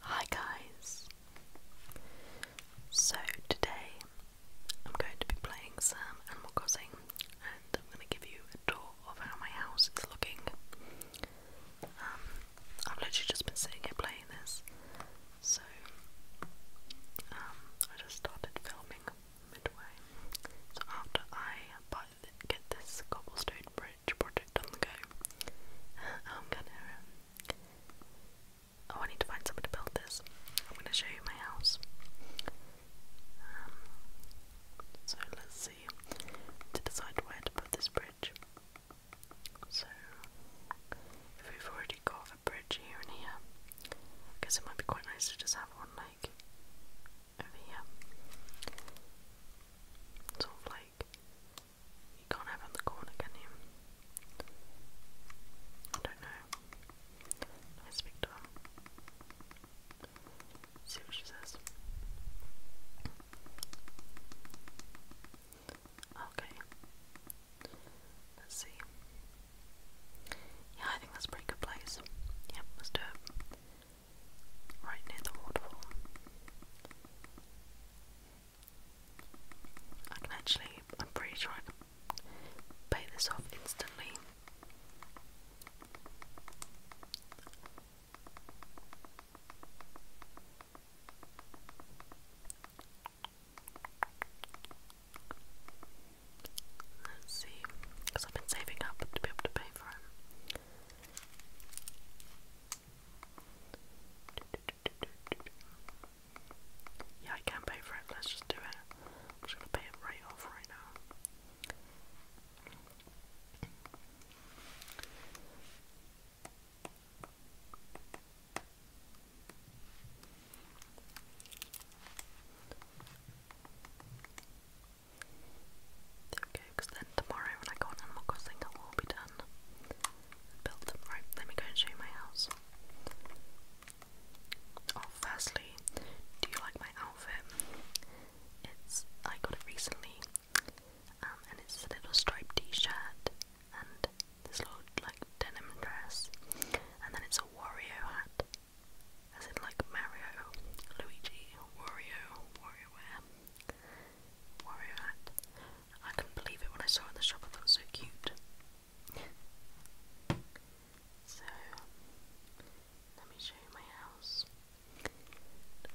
Hi guys! So today I'm going to be playing Sam Animal Crossing and I'm going to give you a tour of how my house is looking. Um, I've literally just been sitting here playing this so um, I just started filming midway. So after I get this cobblestone bridge project on the go. I'm gonna. I need to find someone to build this. I'm gonna show you my house. Um, so let's see to decide where to put this bridge. So we've already got a bridge here and here, I it might be quite nice to just have one like over here. Sort of like you can't have on the corner, can you? I don't know. Let speak to her. See what she says. Okay. Let's see. Yeah, I think that's a pretty good place. Yep, let's do it. Right near the waterfall. I can actually, I'm pretty sure I can pay this off instantly. Let's see, because I've been saving up to be able to pay for it. Yeah, I can pay for it. Let's just do it. I'm just gonna pay it right off right now. Okay, then tomorrow when I go on Animal Crossing, it will all be done built. Right, let me go and show you my house. Oh, firstly, do you like my outfit? It's I got it recently, um, and it's a little striped T-shirt and this little like denim dress, and then it's a Wario hat, as in like Mario, Luigi, Wario, Wario wear, Wario hat, I couldn't believe it when I saw it in the shop, I thought it was so cute. so, let me show you my house.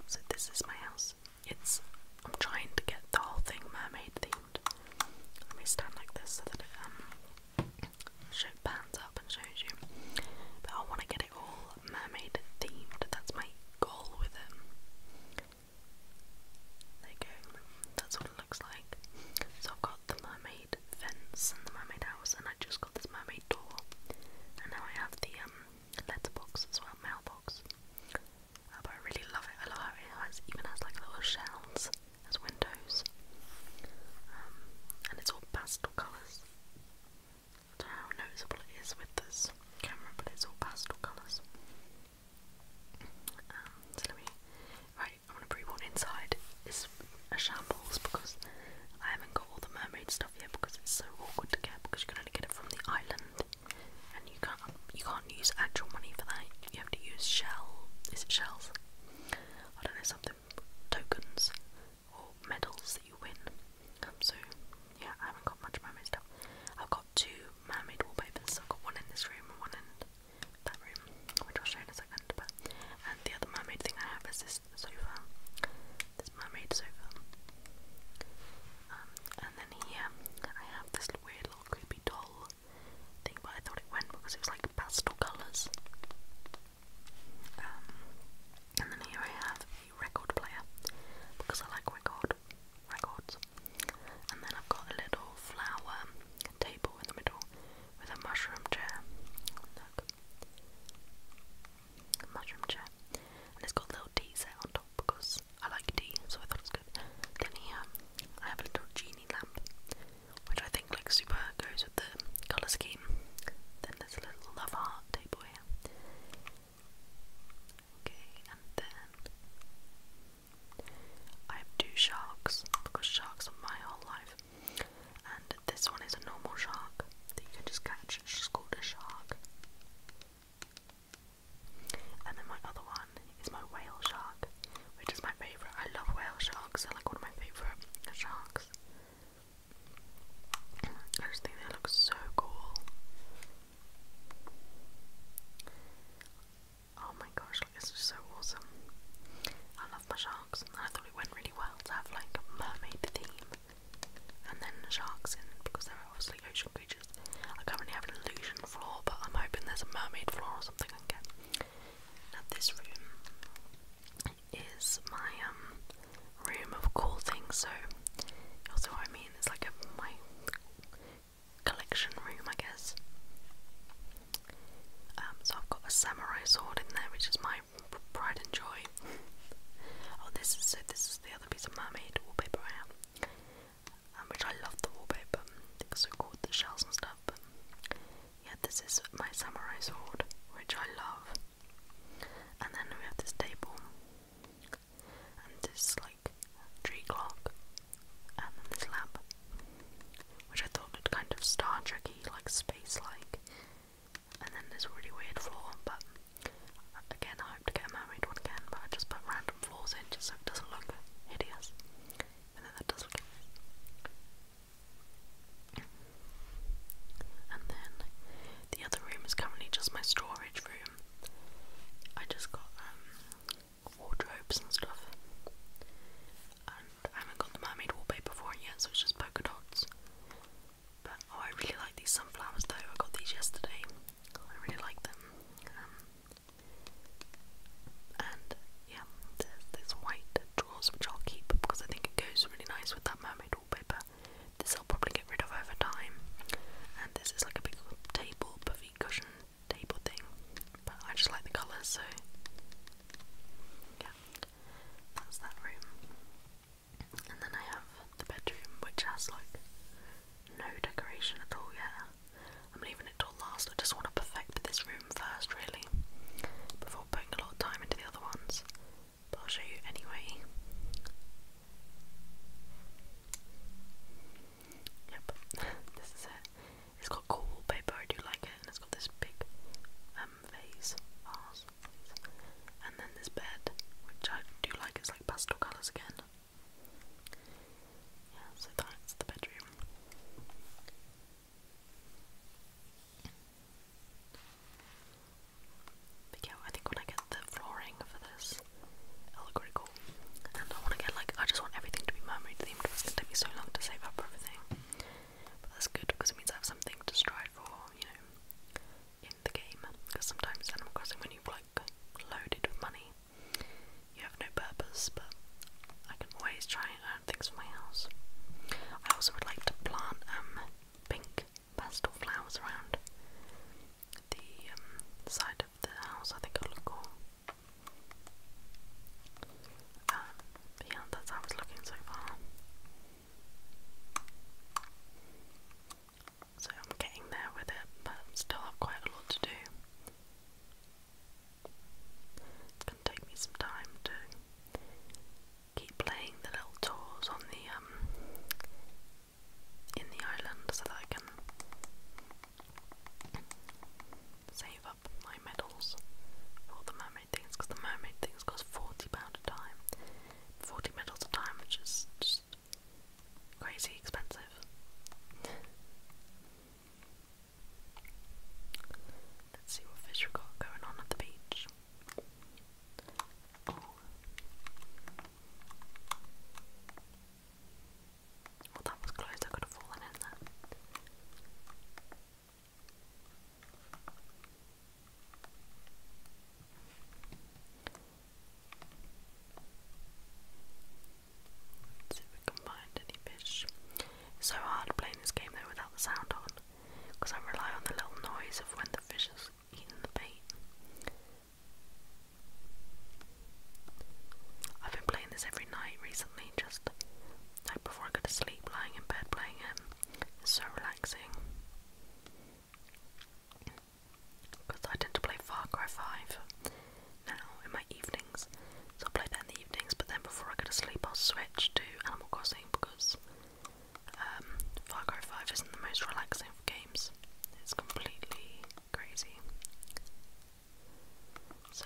So, this is my house. It's, I'm trying to get the whole thing mermaid themed. Let me stand like this so that it, um, show, pans up and shows you. But I want to get it all mermaid themed, that's my goal with it. There you go. That's what it looks like. So I've got the mermaid fence and the mermaid house, and I just got this mermaid door. And now I have the um, letterbox as well, mailbox. Uh, but I really love it. I love how it has even has like little shells as windows. Um, and it's all pastel colours. I don't know how noticeable it is with this camera, but it's all pastel colours. Um, right, I'm gonna pre warn inside is a shambles because I haven't got all the mermaid stuff yet because it's so awkward to get because you can only get it from the island and you can't you can't use actual money for that. You have to use shell. Is it shells? I don't know something tokens or medals that you win so yeah, I haven't got much mermaid stuff. I've got two mermaid wallpapers. So I've got one in this room and one in that room, I'll show in a second. But and the other mermaid thing I have is this sofa, this mermaid sofa. Um, and then here I have this weird little creepy doll thing, but I thought it went because it was like pastel colours. Um, and then here I have a record player because I like record records. And then I've got a little flower table in the middle with a mushroom chair. Look. mushroom chair. And it's got little tea set on top because I like tea, so I thought it good. Then here I have a little genie lamp, which I think like super goes with the colour scheme. Then there's a little love heart table here. Okay, and then I have sharks because sharks are my whole life. And this one is a normal shark that you can just catch, it's just shark. And then my other one is my whale shark, which is my favourite. I love whale sharks, they're like one of my favourite sharks. I just think they look so cool. Oh my gosh, like, this is so awesome. I love my sharks, I thought it went really well to have like a mermaid theme and then sharks in because they're obviously ocean creatures. I currently have an illusion floor, but I'm hoping there's a mermaid floor or something I this room is my um, room of cool things, so also, I mean, it's like my collection room, I guess. Um, so I've got a samurai sword in there, which is my pride and joy. oh, this is so. This is the other piece of mermaid wallpaper I have, um, which I love the wallpaper. so cool, the shells and stuff. yeah, this is my samurai sword, which I love. And then we have this table and this like tree clock, and then this lamp, which I thought looked kind of Star Trekky, like space-like, and then this really weird floor. But again, I hope to get a mermaid one again, but I just put random floors in just so it doesn't look hideous, and then that does look hideous. And then the other room is currently just my storage room. I just got um, wardrobes and stuff. And I haven't got the mermaid wallpaper for it yet, so it's just polka dots. But oh I really like these sunflowers though, I got these yesterday. I really like them. Um, and yeah, there's this white drawers which I'll keep because I think it goes really nice with that mermaid wallpaper. This I'll probably get rid of over time. And this is like a big table, puffy cushion table thing. But I just like the colours, so yeah. That's that room. And then I have the bedroom, which has like no decoration at all yet. I'm leaving it till last. I just want to perfect this room first, really, before putting a lot of time into the other ones. But I'll show you anyway. Yep, this is it. It's got cool wallpaper, I do like it, and it's got this big um, vase, and then this bed, which I do like. It's like pastel colours again. Yeah, so that's the bedroom. But I think when I get the flooring for this, it'll look really cool. And I want to get like, I just want everything to be mermaid themed. It's gonna take me so long to save up for everything. But that's good because it means I have something to strive for, you know, in the game. Because sometimes Animal Crossing, when you've like loaded with money, you have no purpose. But I can always try and things for my house. I also would like to plant um pink pastel flowers around the um, side of the house. I think I will look cool. but um, yeah, that's how it's looking so far. So I'm getting there with it, but still have quite a lot to do. It's gonna take me some time to keep playing the little tours on the um in the island so that I can save up my medals for the mermaid things because the mermaid things cost £40 a time. 40 medals a time, which is just crazy expensive. Let's see what fish we've got going on at the beach. Oh, well, that was close, I could have fallen in there. Let's see if we can find any fish. so hard playing this game though without the sound on, because I rely on the little noise of when the fish is eating the bait. I've been playing this every night recently, just like before I go to sleep, lying in bed playing it. Um, it's so relaxing. Because I tend to play Far Cry 5 now in my evenings. So I play that in the evenings, but then before I go to sleep, I'll switch to Animal Crossing because um, Far Cry 5 isn't the most relaxing games. It's completely crazy. So,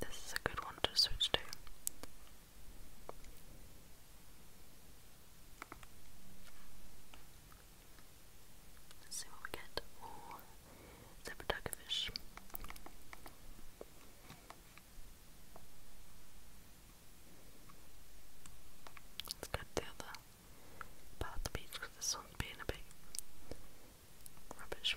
this is a good one to switch to. Let's see what we get. Ooh, Zebra Let's get the about the beach because the sun's being a bit rubbish.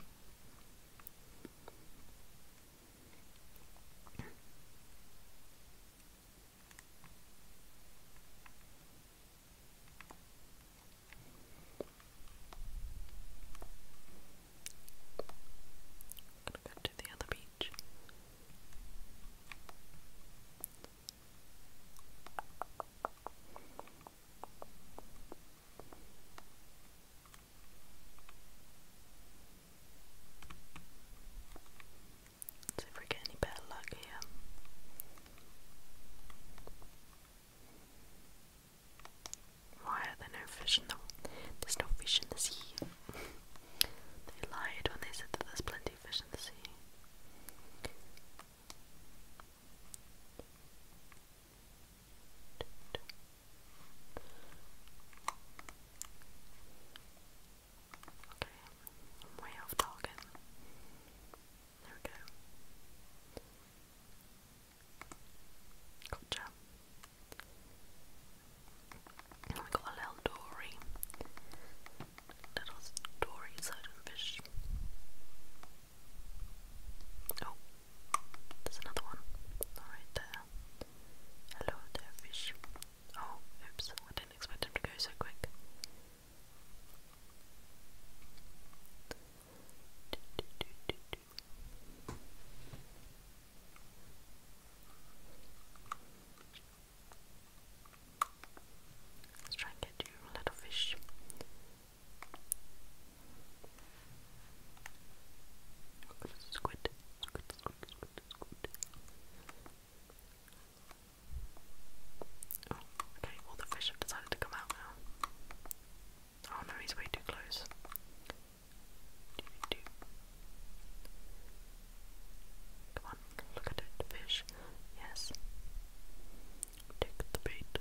gonna go to the other beach. See if we get any better luck here. Why are there no fish in the there's no fish in the sea? they lied when they said that there's plenty deficiency. way off target. There Gotcha. And we got a dory little stories out of fish. Oh, there's another one right there. Hello there, fish. Oh, oops, I didn't expect him to go so quick. Let's try and get you a little fish. Squid, squid, squid, squid, squid. Oh, okay, all the fish have decided to come out now. Oh no, he's way too close. Come on, look at it, fish. Yes. Take the bait.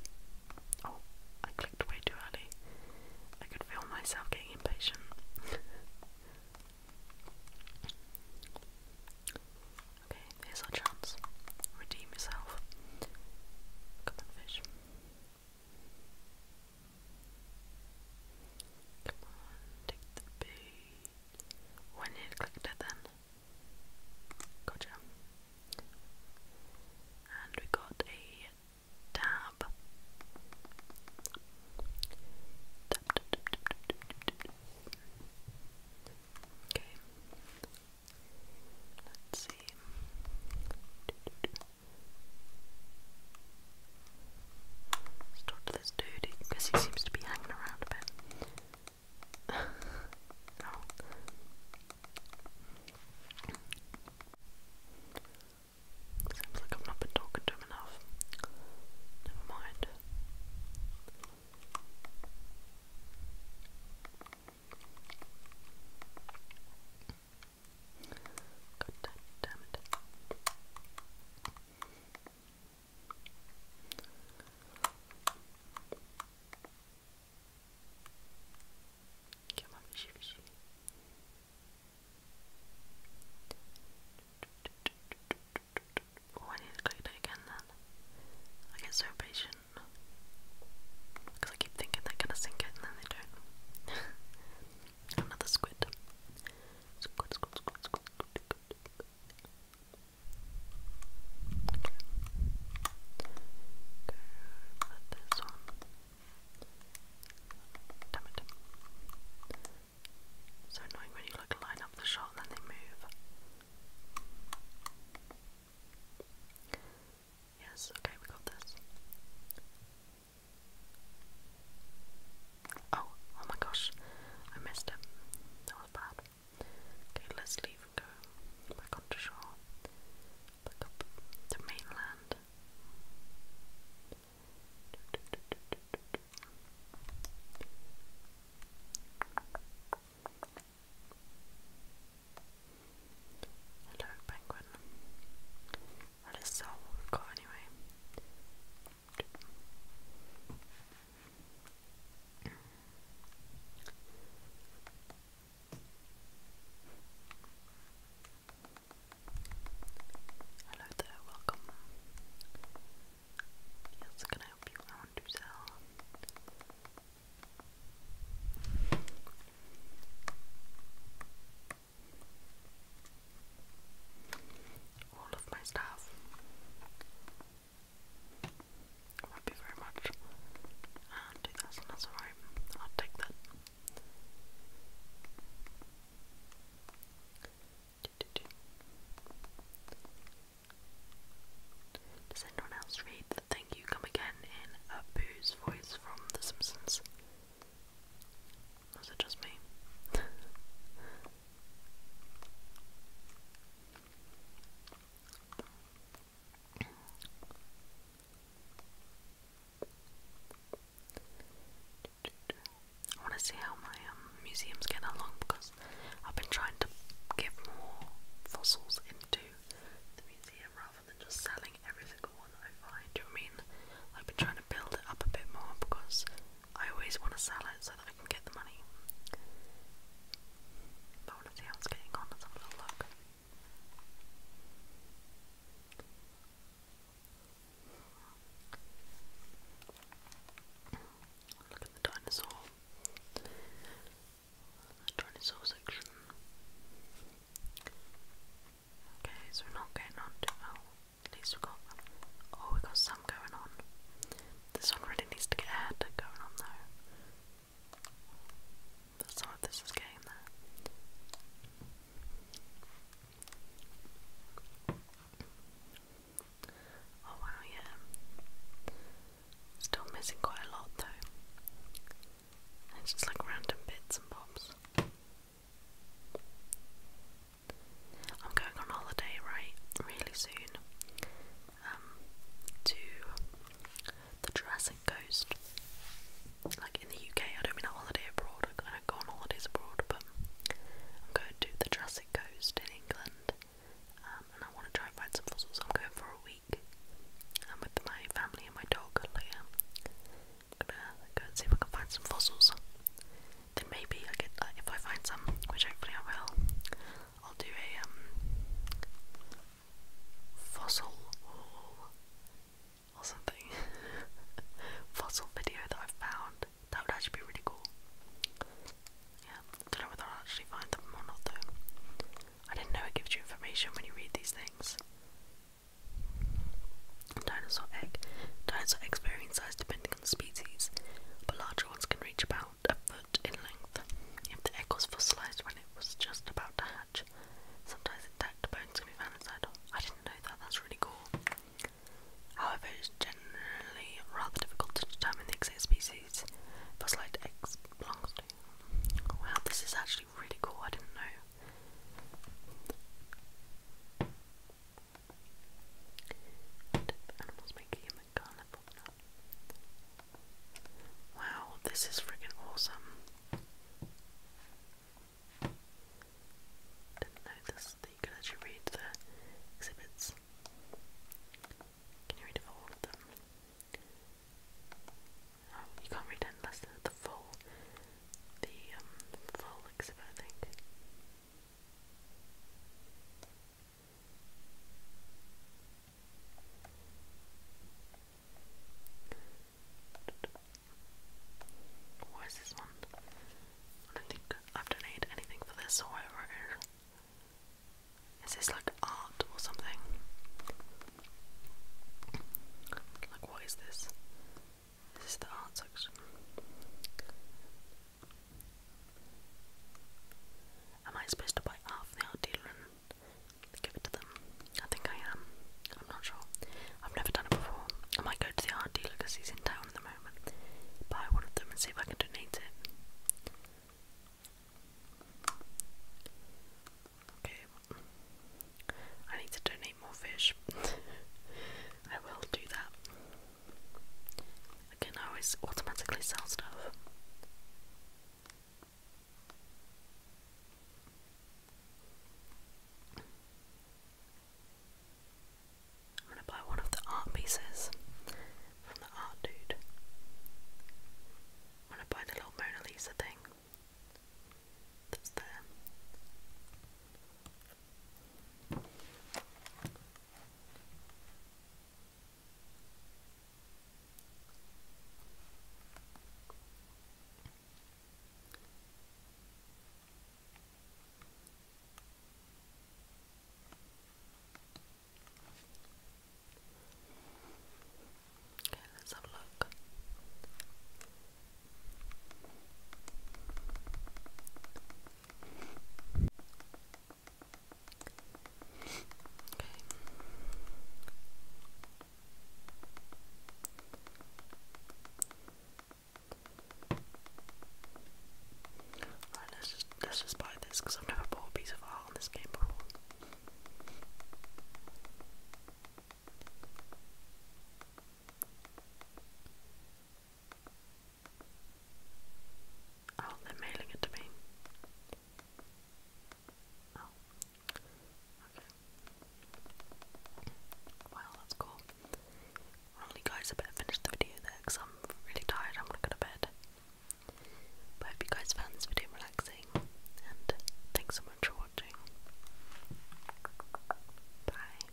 Oh, I clicked way too early. I could feel myself getting impatient. okay, here's our chance. Redeem yourself. Come on, fish. Come on, take the bait. When you clicked it then. Gotcha. And we got a tab. Okay. Let's see. Let's talk to this dude because he seems to be hanging around a bit no. Seems like I've to him enough. Never mind. God damn it. Come on, fishy, fishy. Oh, I need to I get so impatient. Because I keep thinking they're gonna sink it and then they don't. Another squid, squid, squid, squid, squid with this one. Damn it. So annoying when you like line up the shot and then they move. Yes, okay, we got this. Oh, oh my gosh, I missed it. That was bad. Okay, let's leave go back onto shore. Back up to mainland. Hello, penguin. That is all we anyway. Hello welcome. Yes, can I help you? I want to All of my stuff. Thank you very much. 2,000, that's alright. I'll take that. Does anyone else read Thank You Come Again in a voice from The Simpsons? Was it just me? I want to see how my um, museum's getting along because I've been trying to get more fossils into the museum rather than just selling every single one I find. you I mean? I've been trying to build it up a bit more because I always want to sell it so that I can get the money. I want to see how it's getting on. Let's have a little look. Look at the dinosaur. The dinosaur section. Okay, so we're not getting on too well. At least we got oh we got some going on. This one really needs to get ahead going on though. That's not this is getting there. Oh wow, yeah. Still missing quite a lot though. It's just like random bits and bobs. I'm going on holiday right really soon um, to the Jurassic Coast. Like in the UK, I don't mean a holiday abroad, I don't go on holidays abroad, but I'm going to the Jurassic Coast in England um, and I want to try and find some fossils. I'm going for a week. I'm um, with my family and my dog, Leah. gonna go see if I can find some fossils then maybe I get uh, if I find some, which hopefully I will, I'll do a um fossil or something. fossil video that i found. That would actually be really cool. Yeah, don't know whether I'll actually find them or not though. I didn't know it gives you information when you read these things. Dinosaur egg. Dinosaur eggs size depending species, but larger ones can reach about a foot in length. If the egg was fossilized when it was just about to hatch, sometimes intact bones can be found inside. I didn't know that, that's really cool. However, it's generally rather difficult to determine the exact species fossilized eggs belongs Wow, this is actually really cool, I didn't know. Wow, this is freaking awesome. Didn't know this that you read the exhibits. Can you read all of them? Oh, you can't read the full, the um, full exhibit, I think. What is this one? I don't think I've donated anything for this or whatever it is. Is this like art or something? Like, what is this? This the art section. Am I supposed to buy half the art dealer and give it to them? I think I am. I'm not sure. I've never done it before. I might go to the art dealer because he's in town at the moment. Buy one of them and see if I can donate it. Okay, I need to donate more fish. I will do that. I can always automatically sell stuff. I'm gonna buy one of the art pieces from the art dude. I'm to buy the little Mona Lisa thing that's there. Okay, let's have a look. Okay. let's just let's just buy this because I've never bought a piece of art on this game before. Oh, they're mailing it to me. Oh. Okay. Wow, that's cool. Only guys, I better finish the video there because I'm really tired. I'm gonna go to bed. But I hope you guys found this video relaxing, and thanks so much for watching. Bye.